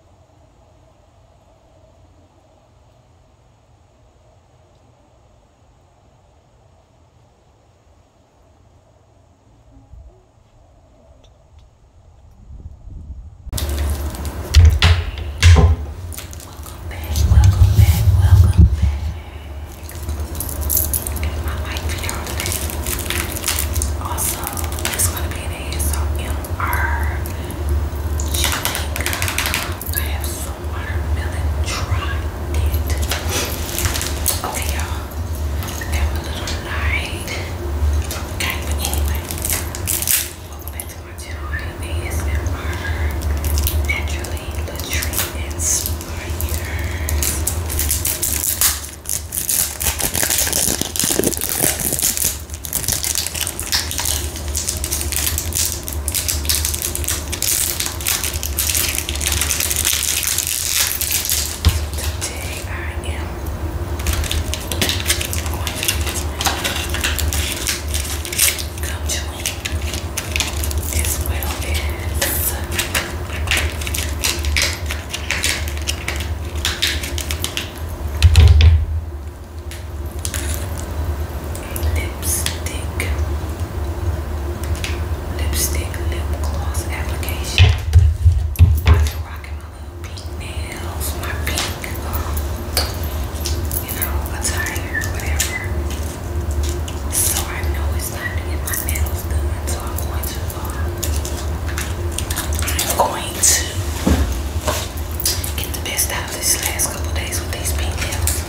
Welcome back, welcome back, welcome back. My mic y'all today. Also, it's gonna be an ASMR our I have some watermelon tried it. Okay, y'all. That a little light. Okay, but anyway, welcome back to my channel. I am ASMR Naturally Latrine Inspired. Today I am going to be doing as well as lipstick, lipstick lip gloss application. I've rocking my little pink nails, my pink, you know, attire, So I know it's time to get my nails done. So I'm going to, uh, I'm going to get the best out of this last couple days with these pink nails.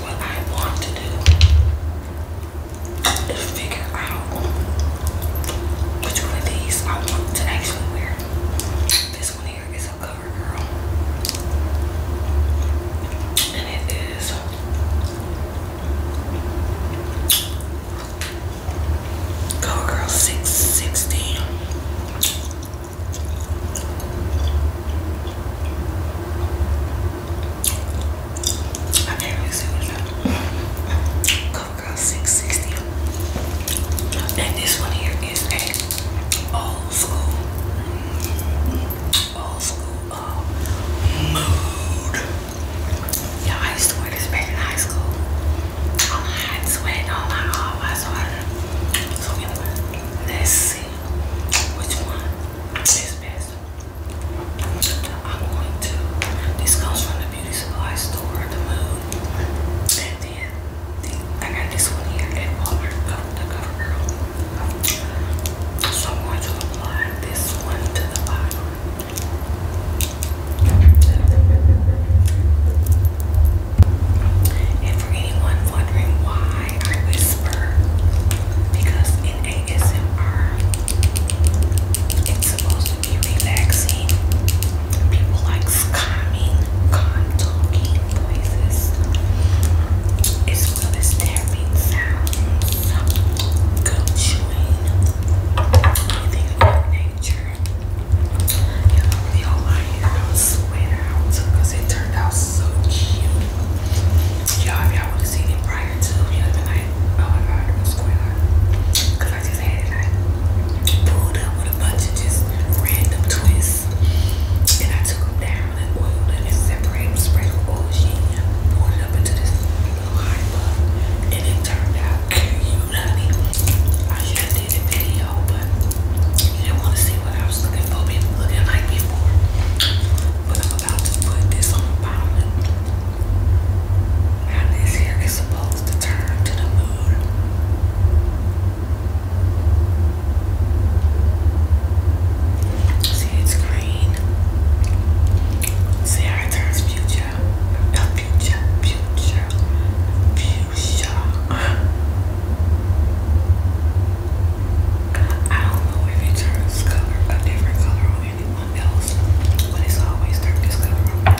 What I want to do is figure out which one of these I want to actually wear. This one here is a cover girl. And it is Go Girl 616. I can see what Go Girl 660. And this one here is a old school, old school uh, mood you I used to wear this back in high school. All my sweat, all my all my sweater. So anyway, let's see which one is best. I'm going to. This comes from the beauty supply store, the Mood, and then I got this one here at Walmart, the CoverGirl. So I'm going to apply this one to the bottom. And for anyone wondering why I whisper, because in ASMR, it's supposed to be relaxing. People like calming, calm talking voices, as well as tapping sounds, gum anything of that nature. You know, the whole idea I was sweating it turned out so cute. Y'all, if y'all would have seen it prior to, you'd like, oh my god, it was quite I just had it like pulled up with a bunch of just random twists. And I took down and oiled them and separated them, spread the oil sheet, poured it up into this and it turned out cute, honey. I should have did a video, but you didn't want to see what I was looking for, looking like before. But I'm about to put this on the bottom. Now this here is supposed to turn to the moon. See, it's green. See how it turns future future, the future, future, I don't know if it turns color a different color on anyone else, but it's always turned this color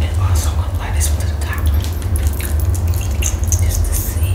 And also I'm gonna light Just to see.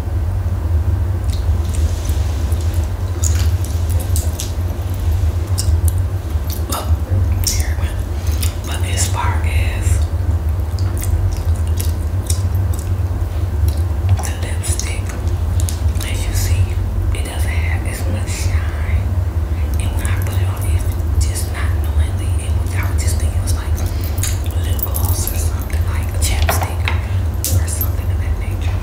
Look, there it But as far as the lipstick, as you see, it doesn't have as much shine. And when I put it on, it's just not knowingly. And without thinking, it was like gloss or something like a or something of that nature.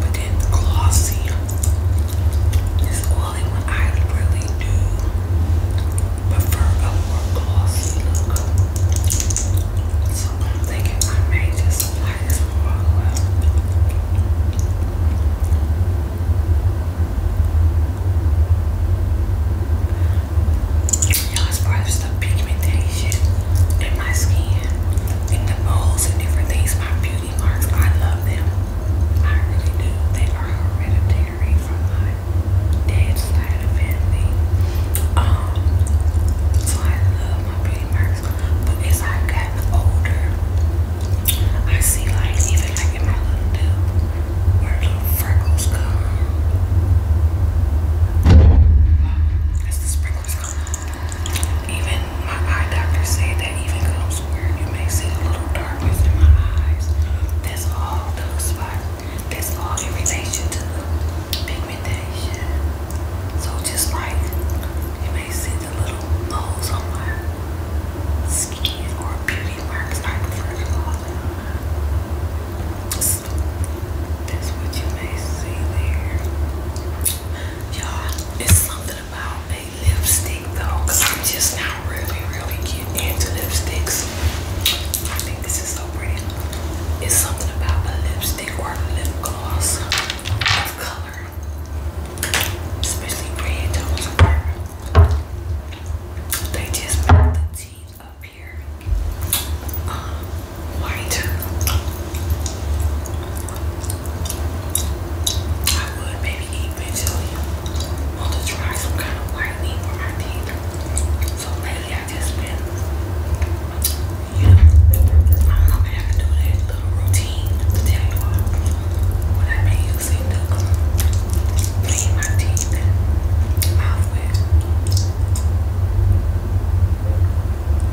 But then glossy, this oily one I really do prefer a more glossy look. So I'm thinking I may just apply this more well you know, as far as the pigmentation in my skin and the moles and different things, my beauty marks, I love them. I really do. They are hereditary from my dad's side of family. Um, so I love my beauty marks. But as I got older, I see like even like in my little dude where little freckles come. That's the sprinkles Even my eye doctor said that even comes where you may see a little darkness in my eyes. That's all those spots. That's all in to the pigmentation. So just like you may see the little holes on my skin or beauty marks, I prefer to call them that's what you may see there. Y'all, it's something about a lipstick though, I'm just now really, really getting into lipsticks. I think this is so pretty. It's something about a lipstick or a lip gloss of color. Especially red tones They just make the teeth up um, white. I would maybe eventually want to try some kind of whitening for my teeth. So lately I just been, you know, I don't I have do that little routine to tell you all what I've using to clean my teeth and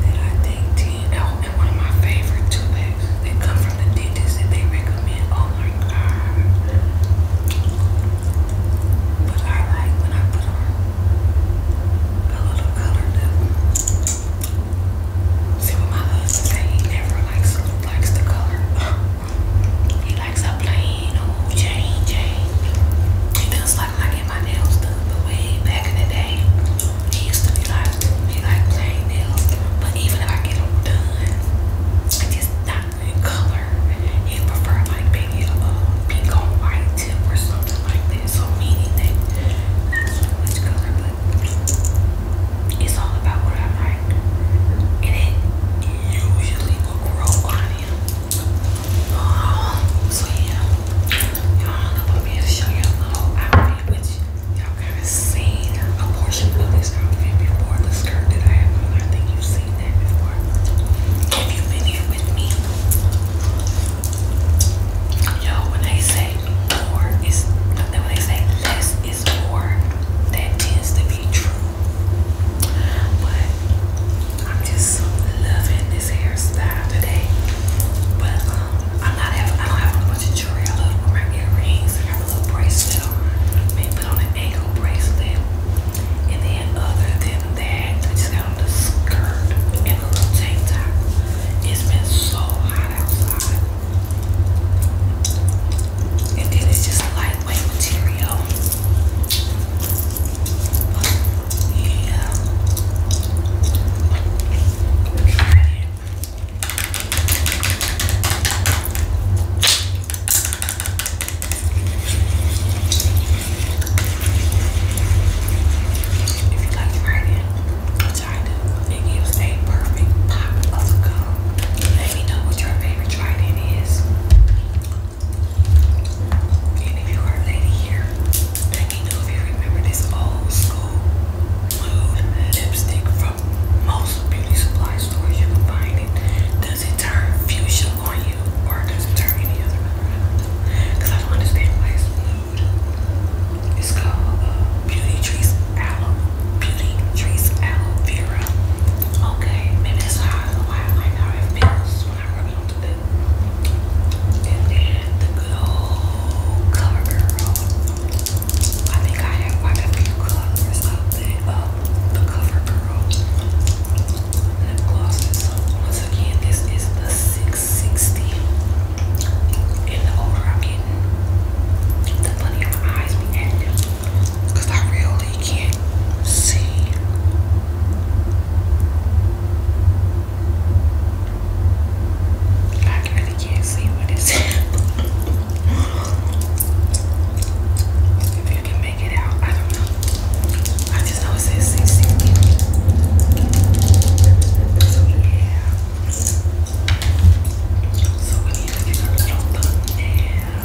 then I think 10, and one of my favorite two bags that come from the dentist that they recommend. Oh my god. But I like when I put on a little color lip. See what my husband say, he never likes, likes the color. he likes a plain old Jane Jane. He does just like when I get my nails done, but way back in the day, it used to be like be like plain nails. But even if I get them done, I just not in color. You prefer like maybe uh, pink on white tip or something like that. So meaning that not so much color, but it's all about what I like. And it usually will grow on you so yeah, y'all know I'm here to show y'all whole outfit, which y'all kind of seen a portion of this outfit before. The skirt that I have on, I think you've seen that before. If you been here with me, yo, when they say more is, when they say less is more, that tends to be true. But I'm just loving this hairstyle today. But um, I'm not having, I don't have a bunch of jewelry. I love my earrings. I have a little bracelet on. put on an ankle bracelet. And then other than that, I just got on the skirt and a little tank top. It's been so hot outside. And then it's just a lightweight material. If you like writing, which I do, it gives a perfect pop of color. Let me know what your favorite writing is. And if you are a here, Picking up remember this old school nude lipstick from most beauty supply stores. You can find it. Does it turn fuchsia on you, or does it turn any other color? Because I don't understand why it's called uh, Beauty Trees Aloe Beauty Trees Aloe Vera. Okay, maybe that's how I, why I like how it feels when I rub it onto something. And then the good old I think I have quite a colors of the uh, the cover girl lip glosses. Once again, this is the 660. And the older I'm getting, the funnier my eyes be acting. I really can't see. I really can't see what it's If you can make it out, I don't know. I just know it says 60. So yeah. So we need to get a little thumbnail.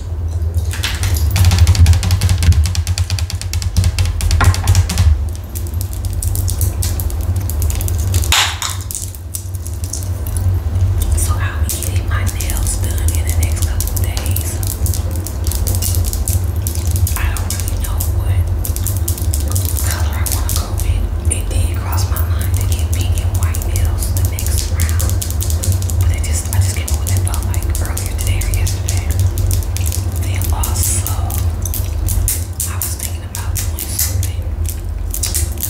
So I'll be getting my nails done in the next couple days. I don't really know what color I want to go with. It did cross my mind to get pink and white nails the next round. But I just I just came up with that like earlier today or yesterday. Then also I was thinking about doing something.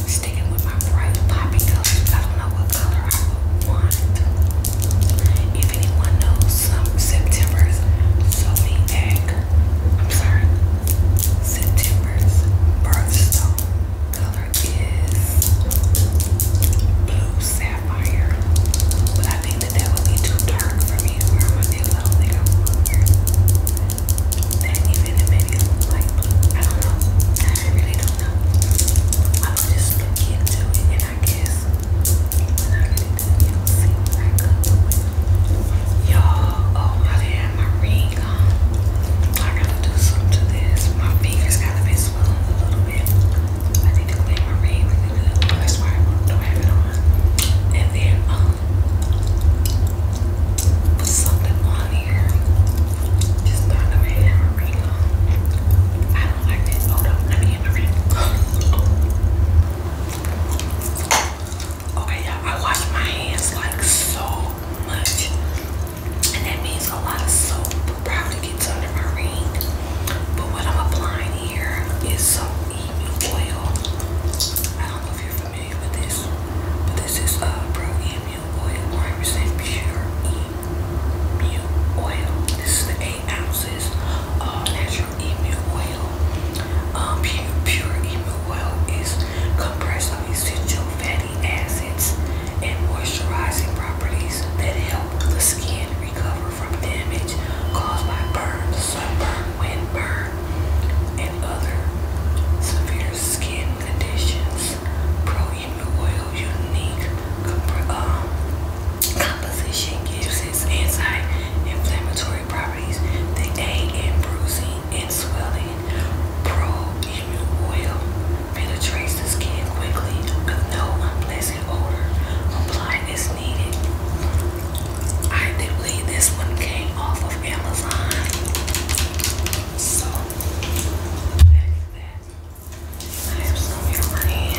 Sticking with my bright poppy colors. I don't know what color I would want. If anyone knows some um, September's Zoe egg. I'm sorry. September's birthstone color is blue sapphire, but I think that that would be too dark for me to wear my nails. I don't think maybe like blue. I don't know. I really don't know. I'll just look into it, and I guess when I get into it, you I come Y'all, oh my damn, ring um, I gotta do something to this. My fingers gotta be a little bit. I need to clean my ring That's why I don't have it on. And then um put something on here. Just thought I might have ring I don't like this. Hold on, let me get Okay, you I wash my hands like so much and that means a lot of soap probably gets under my ring. But what I'm applying here is some EU oil. I don't know if you're familiar with this, but this is a uh, Pro EMU oil, 100% pure EMU oil. This is the 8 ounces of natural EMU oil. Um, pure, e EMU oil is compressed of essential fatty acids and moisturizing properties that help the skin recover from damage caused by burns, sunburn, windburn, and other severe skin conditions. Pro Human Oil Unique um, Composition gives its anti-inflammatory properties that aid in bruising and swelling oil penetrates the skin quickly with no unpleasant odor. Apply as needed. I believe this one came off of Amazon. So, that is that. I have some in my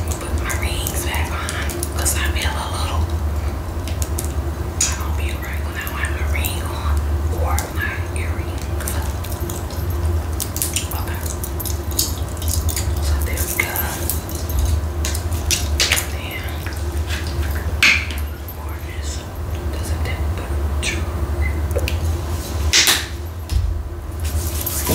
I'm gonna put my rings back on I feel a little. I don't feel right when I have my ring on or are my earrings. Okay. So there we go. And gorgeous. Doesn't that look true? So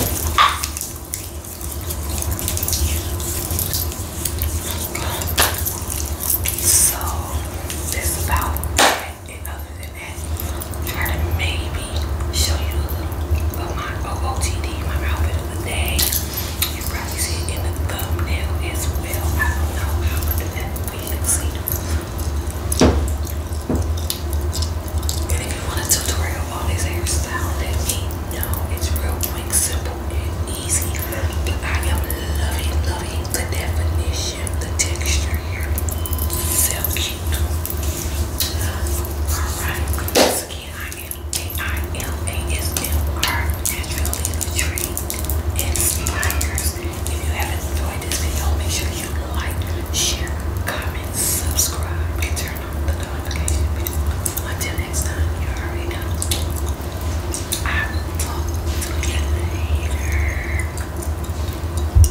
that's about it like other than that. Try to maybe show you a little of my OOTD, my outfit of the day. You probably see it in the thumbnail as well. I don't know how to do that for you to see. And if you want a tutorial on this hairstyle, let me know. It's real quick, simple, and easy. But I am loving, loving the definition, the texture here. Silk Alright, once again, I am A-I-M-A-S-M-R Naturally Nutrient Inspires. If you have enjoyed this video, make sure you like, share, comment, subscribe, and turn on the notification Until next time, you already know. I will talk to you later.